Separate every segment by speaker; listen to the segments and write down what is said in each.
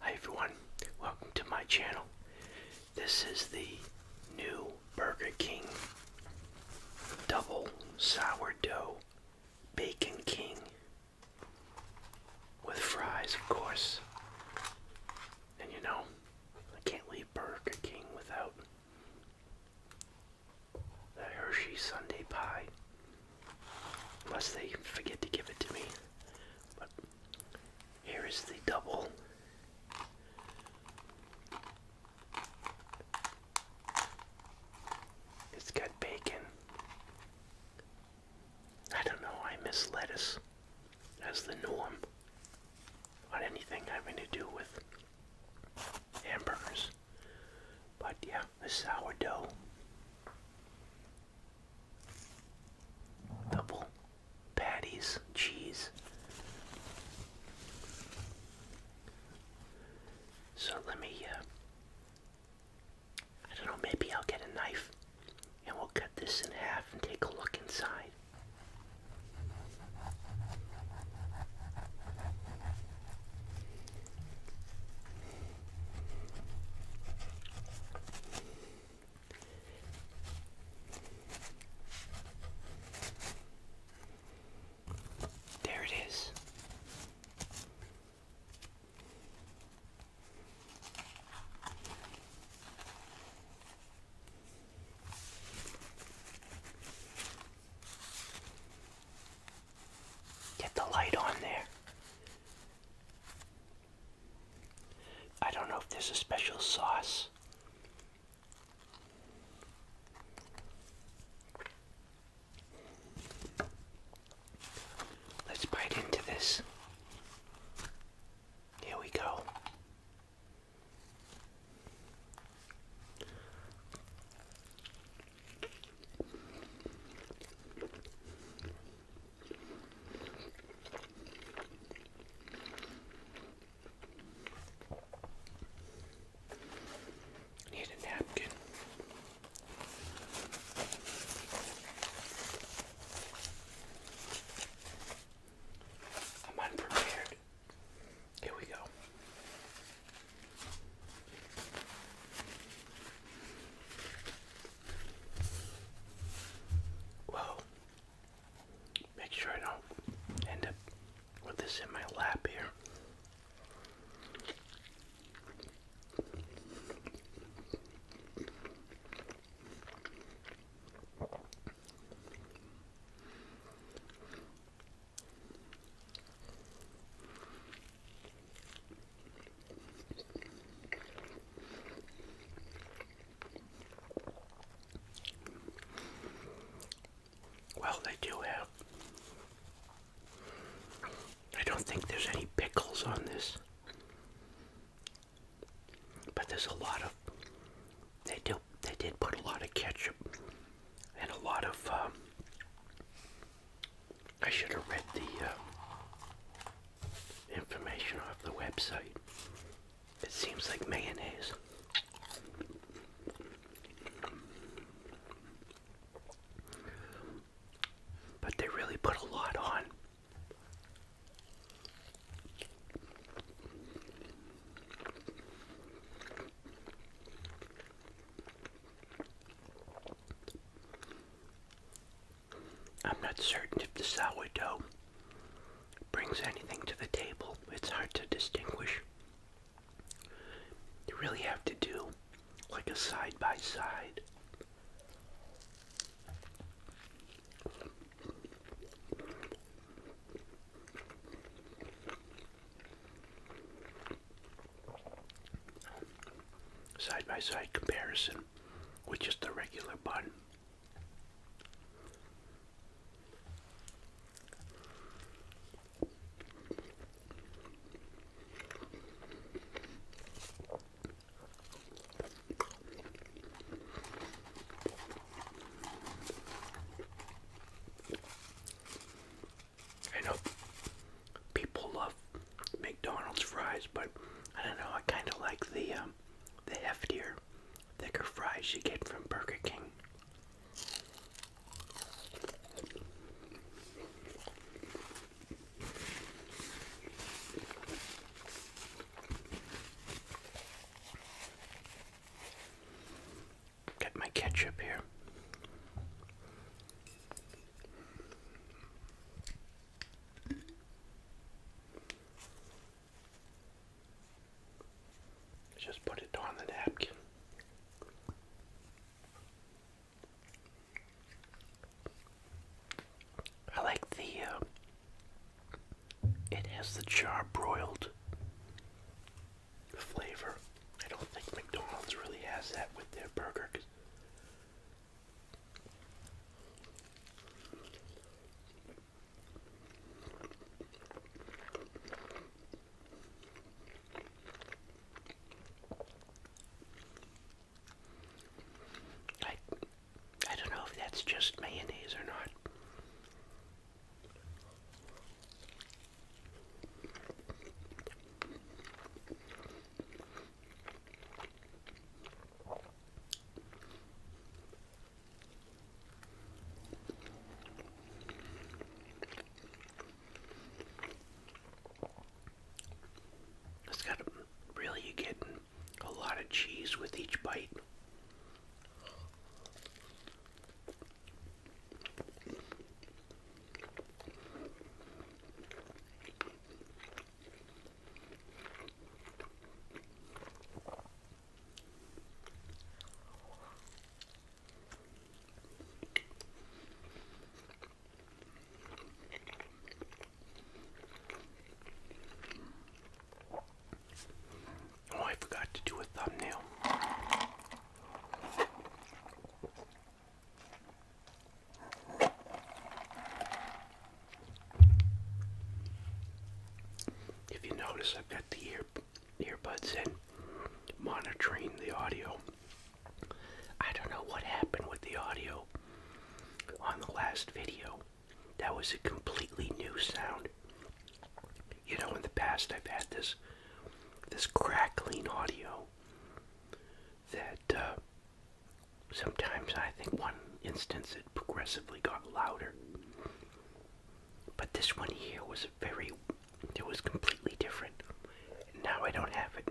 Speaker 1: Hi everyone, welcome to my channel. This is the new Burger King Double Sourdough Bacon King with fries, of course. And you know, I can't leave Burger King without the Hershey Sunday Pie Unless they forget to give it to me. But here is the double. It's got bacon. I don't know, I miss lettuce as the norm on anything having to do with hamburgers. But yeah, the sourdough. Double patties, cheese. So let me, uh, I don't know, maybe I'll get a knife and we'll cut this in half and take a look inside. There it is. Get the light on there. I don't know if there's a special sauce. Let's bite into this. Here we go. Need a napkin. I'm unprepared. Here we go. Well, make sure I don't end up with this in my lap here. Well, they do have. I don't think there's any pickles on this. But there's a lot of they do they did put a lot of ketchup and a lot of um, I should have read the um, information off the website. It seems like mayonnaise. But they really put a lot on. I'm not certain if the sourdough brings anything to the table. It's hard to distinguish. You really have to do like a side by side. Side by side comparison with just a regular bun. I know people love McDonald's fries, but I don't know. I kind of like the um, the heftier, thicker fries you get from Burger King. Get my ketchup here. Just put it on the napkin. I like the, um, it has the char broiled flavor. I don't think McDonald's really has that with their burger. I I don't know if that's just mayonnaise or not. It's got really you get a lot of cheese with each bite. Oh, I forgot to do a thumbnail. If you notice, I've got the ear earbuds in, monitoring the audio. I don't know what happened with the audio on the last video. That was a completely new sound. You know, in the past, I've had this this crackling audio that uh, sometimes I think one instance it progressively got louder. But this one here was very, it was completely different. now I don't have it.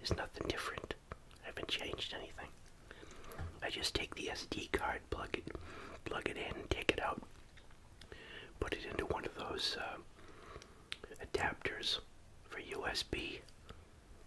Speaker 1: It's nothing different. I haven't changed anything. I just take the SD card, plug it, plug it in, take it out, put it into one of those uh, adapters for USB,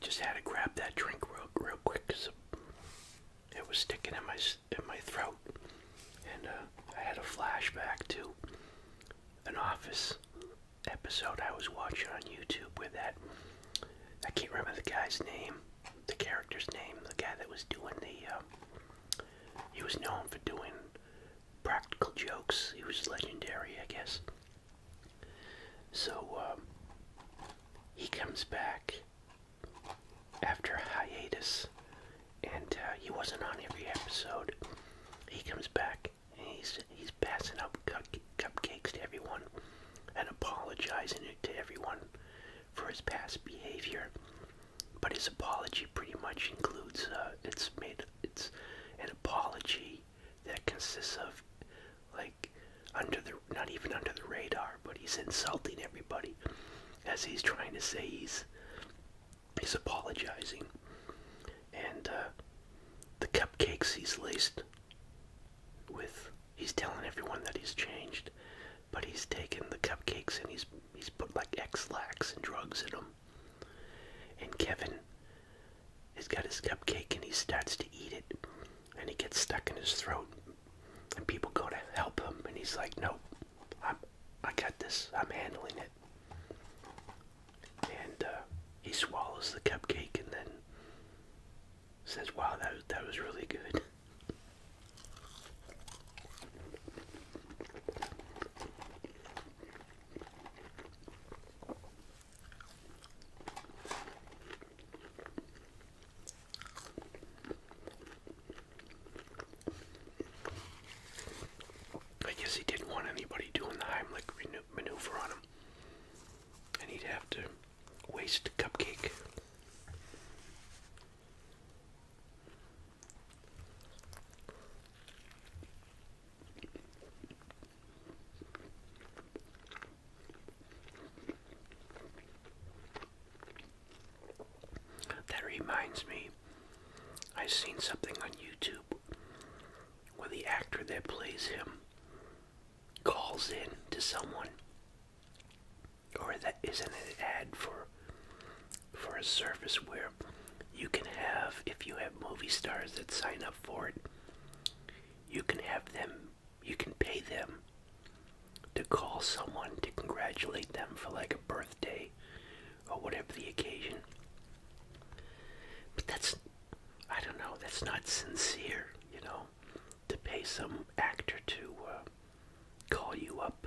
Speaker 1: Just had to grab that drink real, real quick it was sticking in my in my throat, and uh, I had a flashback to an Office episode I was watching on YouTube with that. I can't remember the guy's name, the character's name, the guy that was doing the. Uh, he was known for doing practical jokes. He was legendary, I guess. So um, he comes back after hiatus, and uh, he wasn't on every episode. He comes back and he's he's passing out cupcakes to everyone and apologizing to everyone for his past behavior. But his apology pretty much includes uh, it's made it's an apology that consists of like under the not even under the radar, but he's insulting everybody as he's trying to say he's he's apologizing. And uh, the cupcakes he's laced with he's telling everyone that he's changed, but he's taken the cupcakes and he's he's put like X lax and drugs in them and Kevin has got his cupcake and he starts to eat it and he gets stuck in his throat. And people go to help him and he's like, Nope, I'm I got this, I'm handling it. And uh, he swallows the cupcake and then says, Wow, that that was really good. I guess he didn't want anybody doing the Heimlich maneuver on him, and he'd have to waste a cupcake. That reminds me, I seen something on YouTube where the actor that plays him calls in to someone. Or that isn't an ad for for a service where you can have if you have movie stars that sign up up for it, you can have them, you can pay them to call someone to congratulate them for like a birthday or whatever the occasion. But that's, I don't know, that's not sincere, you know, to pay some actor to uh, call you up.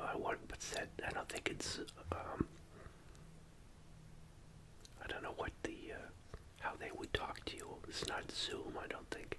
Speaker 1: I uh, want, but said, I don't think it's, um, I don't know what the uh, how they would talk to you. It's not Zoom, I don't think.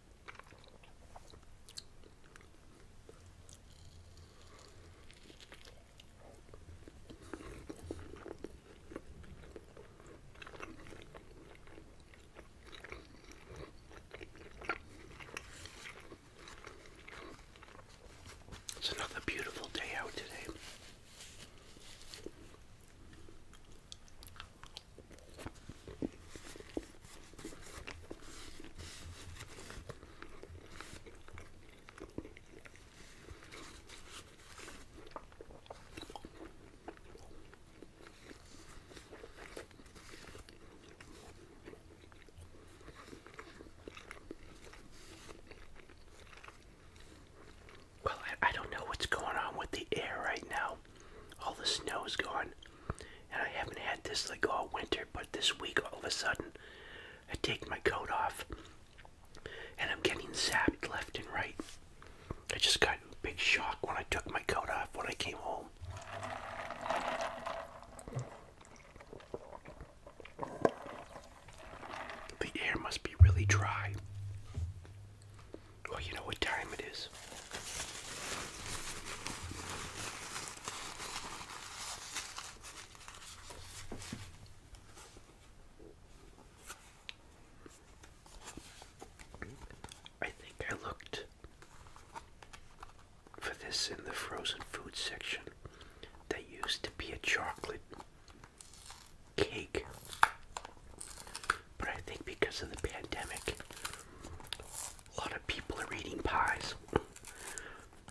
Speaker 1: It's another beautiful day out today. Well, I, I don't know what's going on with the air right now, all the snow is gone. And I haven't had this like all winter, but this week all of a sudden I take my coat off and I'm getting zapped left and right. I just got a big shock when I took my coat off when I came home. The air must be really dry. Well, you know what time it is. I think I looked for this in the frozen food section. That used to be a chocolate cake. But I think because of the pandemic, a lot of people are eating pies.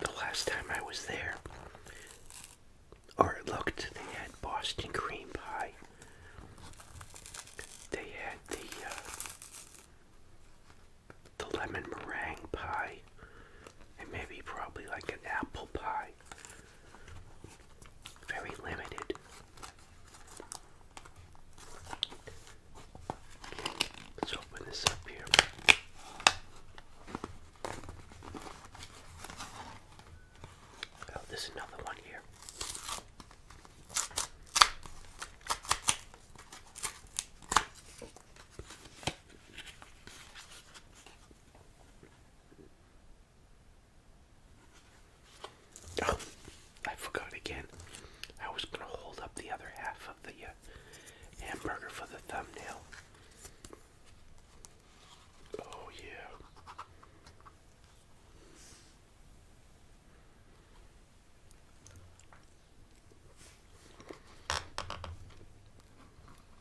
Speaker 1: The last time I was there, or I looked, they had Boston cream pie. They had the uh, the lemon meringue pie, and maybe probably like an apple pie. Very limited. Let's open this up here. Oh, there's another one here. Oh, I forgot again. I was gonna hold up the other half of the uh, hamburger for the thumbnail. Oh yeah.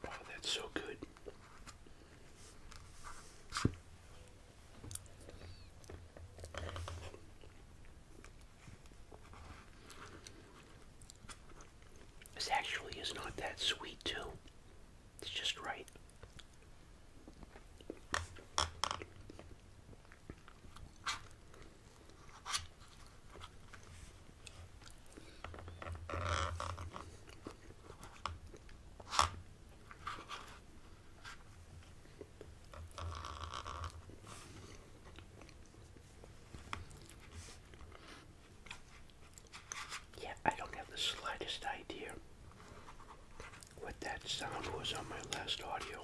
Speaker 1: Oh, that's so good. This actually is not that sweet, too. It's just right. Yeah, I don't have the slightest idea what that sound was on my last audio.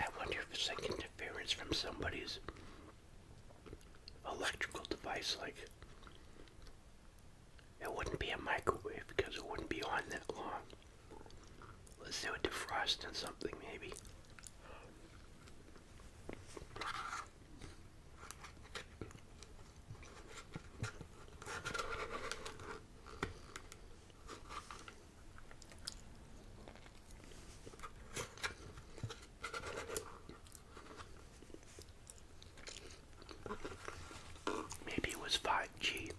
Speaker 1: I wonder if it's like interference from somebody's electrical device. Like, it wouldn't be a microwave because it wouldn't be on that long. Let's do a defrost and something, maybe. Maybe it was 5G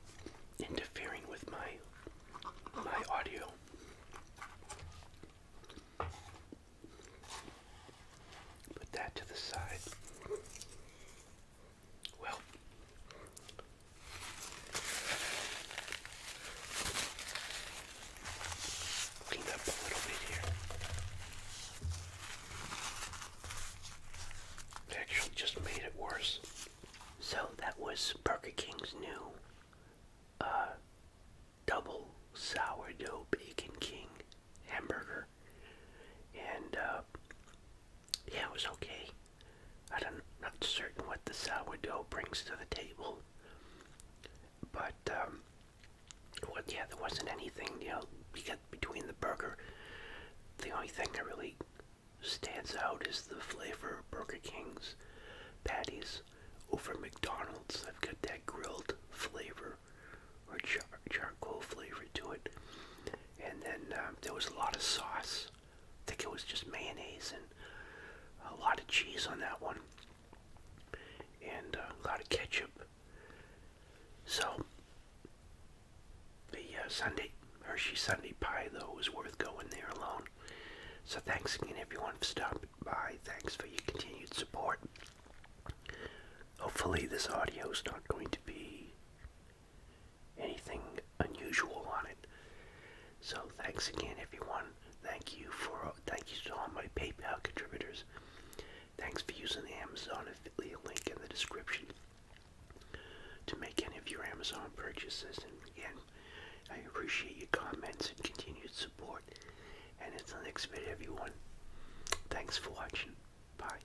Speaker 1: interfering with my my audio. Put that to the side. Well, clean up a little bit here. Actually, just made it worse. So that was Burger King's new uh, double sourdough bacon king hamburger and uh, yeah, it was okay. I am not certain what the sourdough brings to the table, but um, yeah, there wasn't anything you know. You between the burger. The only thing that really stands out is the flavor of Burger King's patties over McDonald's. I've got that grilled flavor or charcoal flavor to it and then um, there was a lot of sauce. I think it was just mayonnaise and a lot of cheese on that one, and uh, a lot of ketchup. So the uh, Sunday Hershey Sunday pie though was worth going there alone. So thanks again everyone for stopping by. Thanks for your continued support. Hopefully this audio is not going to be anything unusual on it. So thanks again, everyone. Thank you for thank you to all my PayPal contributors. Thanks for using the Amazon affiliate link in the description to make any of your Amazon purchases. And again, I appreciate your comments and continued support. And until next video, everyone. Thanks for watching. Bye.